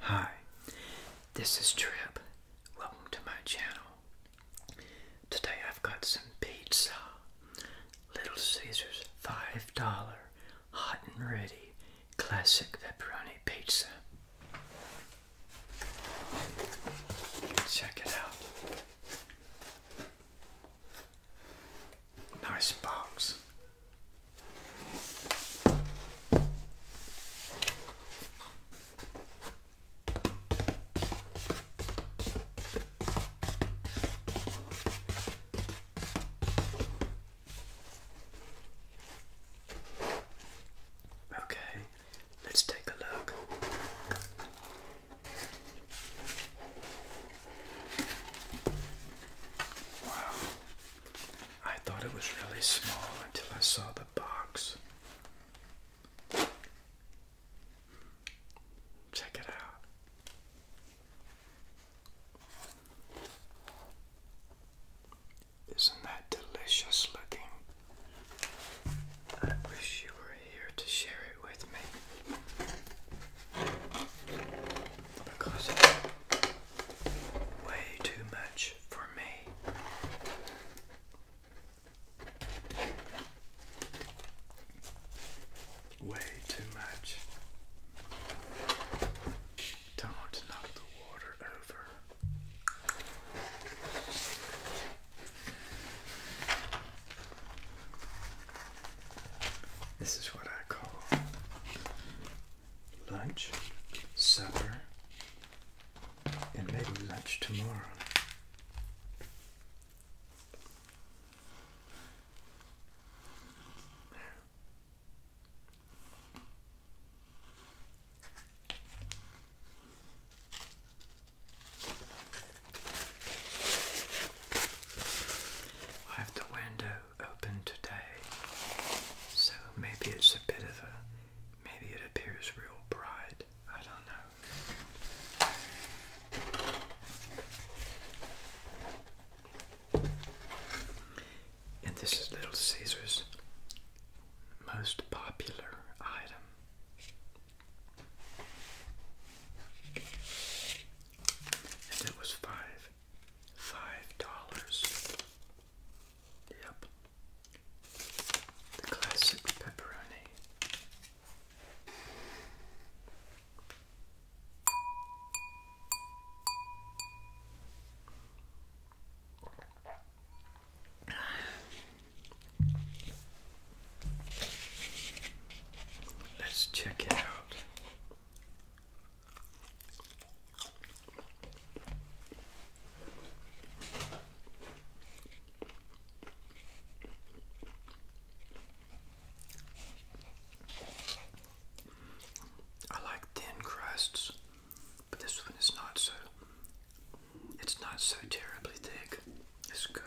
Hi, this is Trip. Welcome to my channel. Today I've got some pizza. Little Caesars $5 hot and ready classic pepperoni pizza. Check it out. Nice box. Okay, let's take a look. Wow. I thought it was really small until I saw the box. Check it out. Isn't that delicious looking? I wish you were here to share it with me because way too much for me. Way too much. Don't knock the water over. This is what I call lunch, supper, and maybe lunch tomorrow. I have the window open today. So maybe it's a bit of a, maybe it appears real bright. I don't know. And this is Little Caesar's most popular item. And it was five five dollars. Yep. The classic pepperoni. Let's check it out. I like thin crusts, but this one is not so it's not so terribly thick. It's good.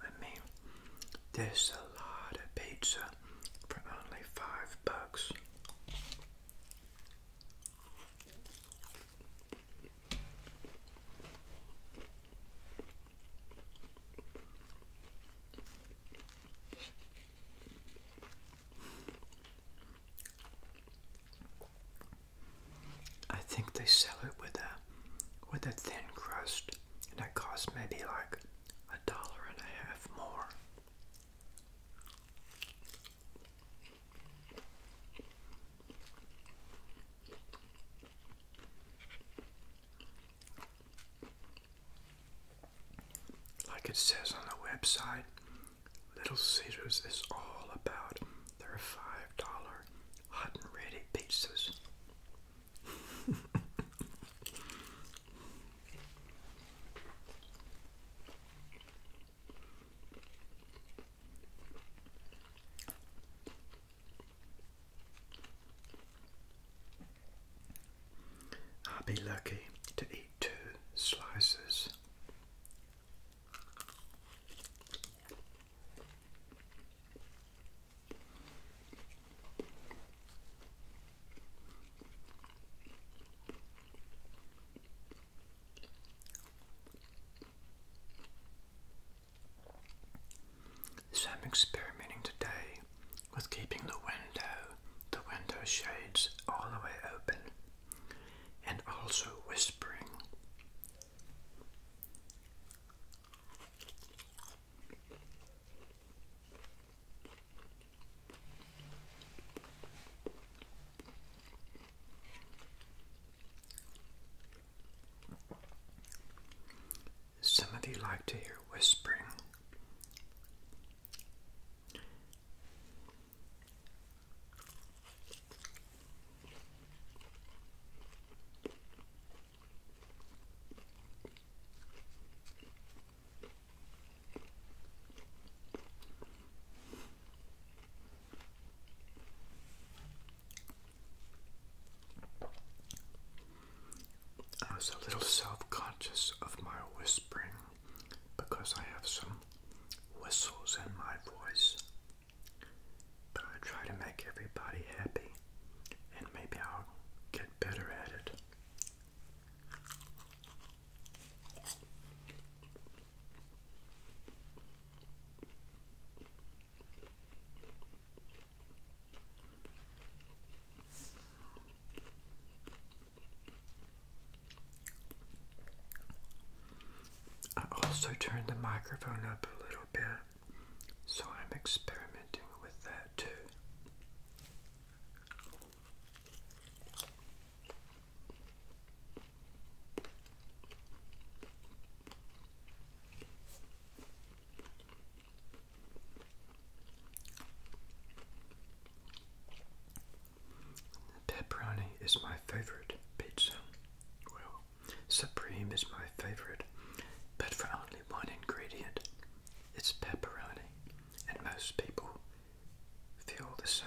I mean, there's a lot of pizza for only five bucks. I think they sell it with a with a thin crust, and it costs maybe like a dollar and a half more. Like it says on the website, Little Caesars is all about their $5 hot and ready pizzas. I'll be lucky to eat two slices. So I'm experimenting today with keeping the window, the window shades all the way open and also whispering. Some of you like to hear whispering. I was a little self conscious of my whispering because I have some whistles in my voice. But I try to make everybody happy, and maybe I'll get better at it. I also turned the microphone up a little bit, so I'm experimenting with that too. Pepperoni is my favorite pizza. Well, supreme is my favorite, but for only one ingredient. It's pepperoni, and most people feel the same.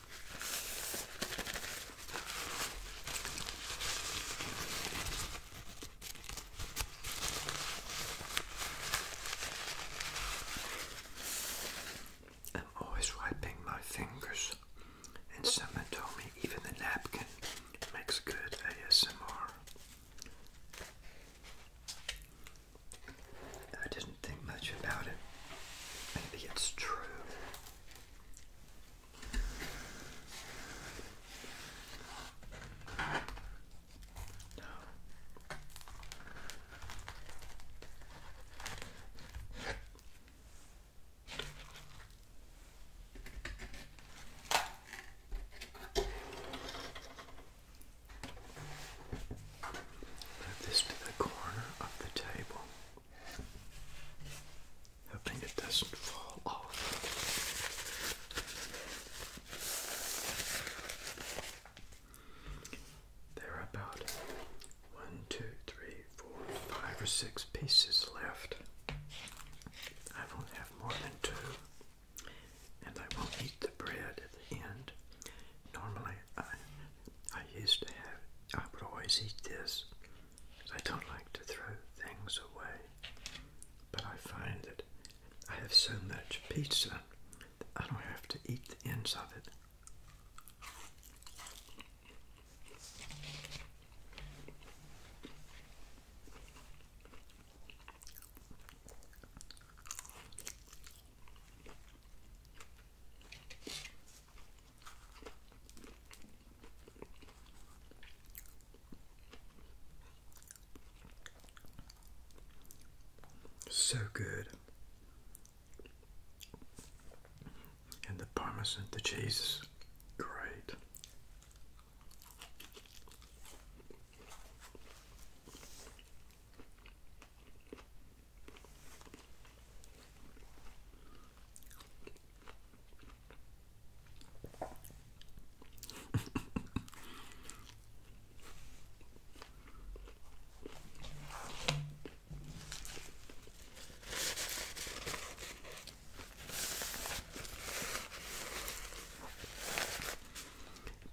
I'm always wiping my fingers, and someone told me even the napkin makes good ASMR. I didn't think much about it. Maybe it's true. No. Move this to the corner of the table. Hoping it doesn't fall off. There are about one, two, three, four, five or six pieces left. I won't have more than two, and I won't eat the bread at the end. Normally, I I used to have, I would always eat this. I don't like to throw things away, but I find that I have so much pizza that I don't have to eat the ends of it. So good. And the parmesan, the cheese great.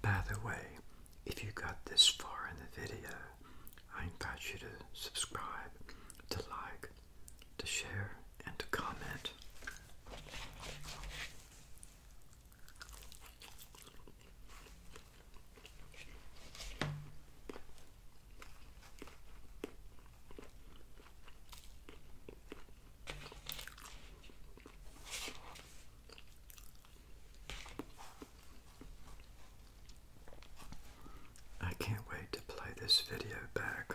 By the way, if you got this far in the video, I invite you to subscribe, to like, to share, and to comment. I can't wait to play this video back.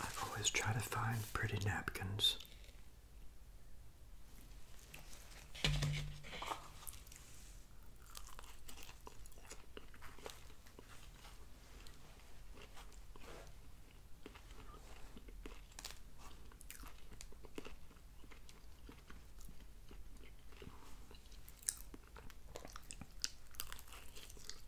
i always try to find pretty napkins.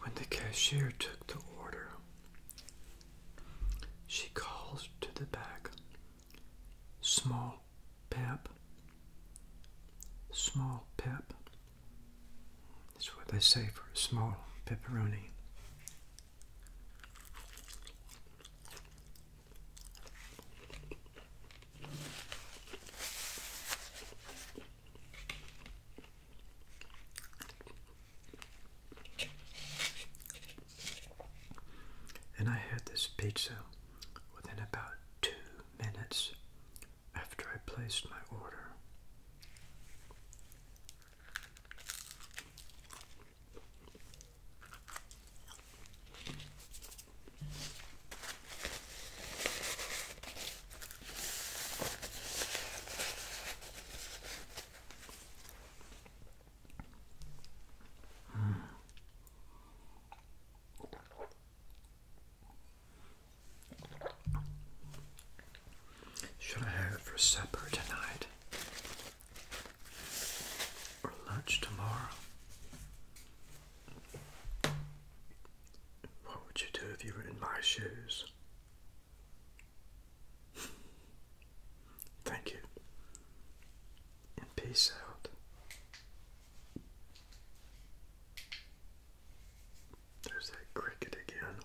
When the cashier took the order, she called to the back, Small Pep, Small Pep. That's what they say for a small pepperoni. And I had this pizza within about two minutes after I placed my order. Should I have it for supper tonight? or lunch tomorrow? What would you do if you were in my shoes? Thank you. And peace out. There's that cricket again.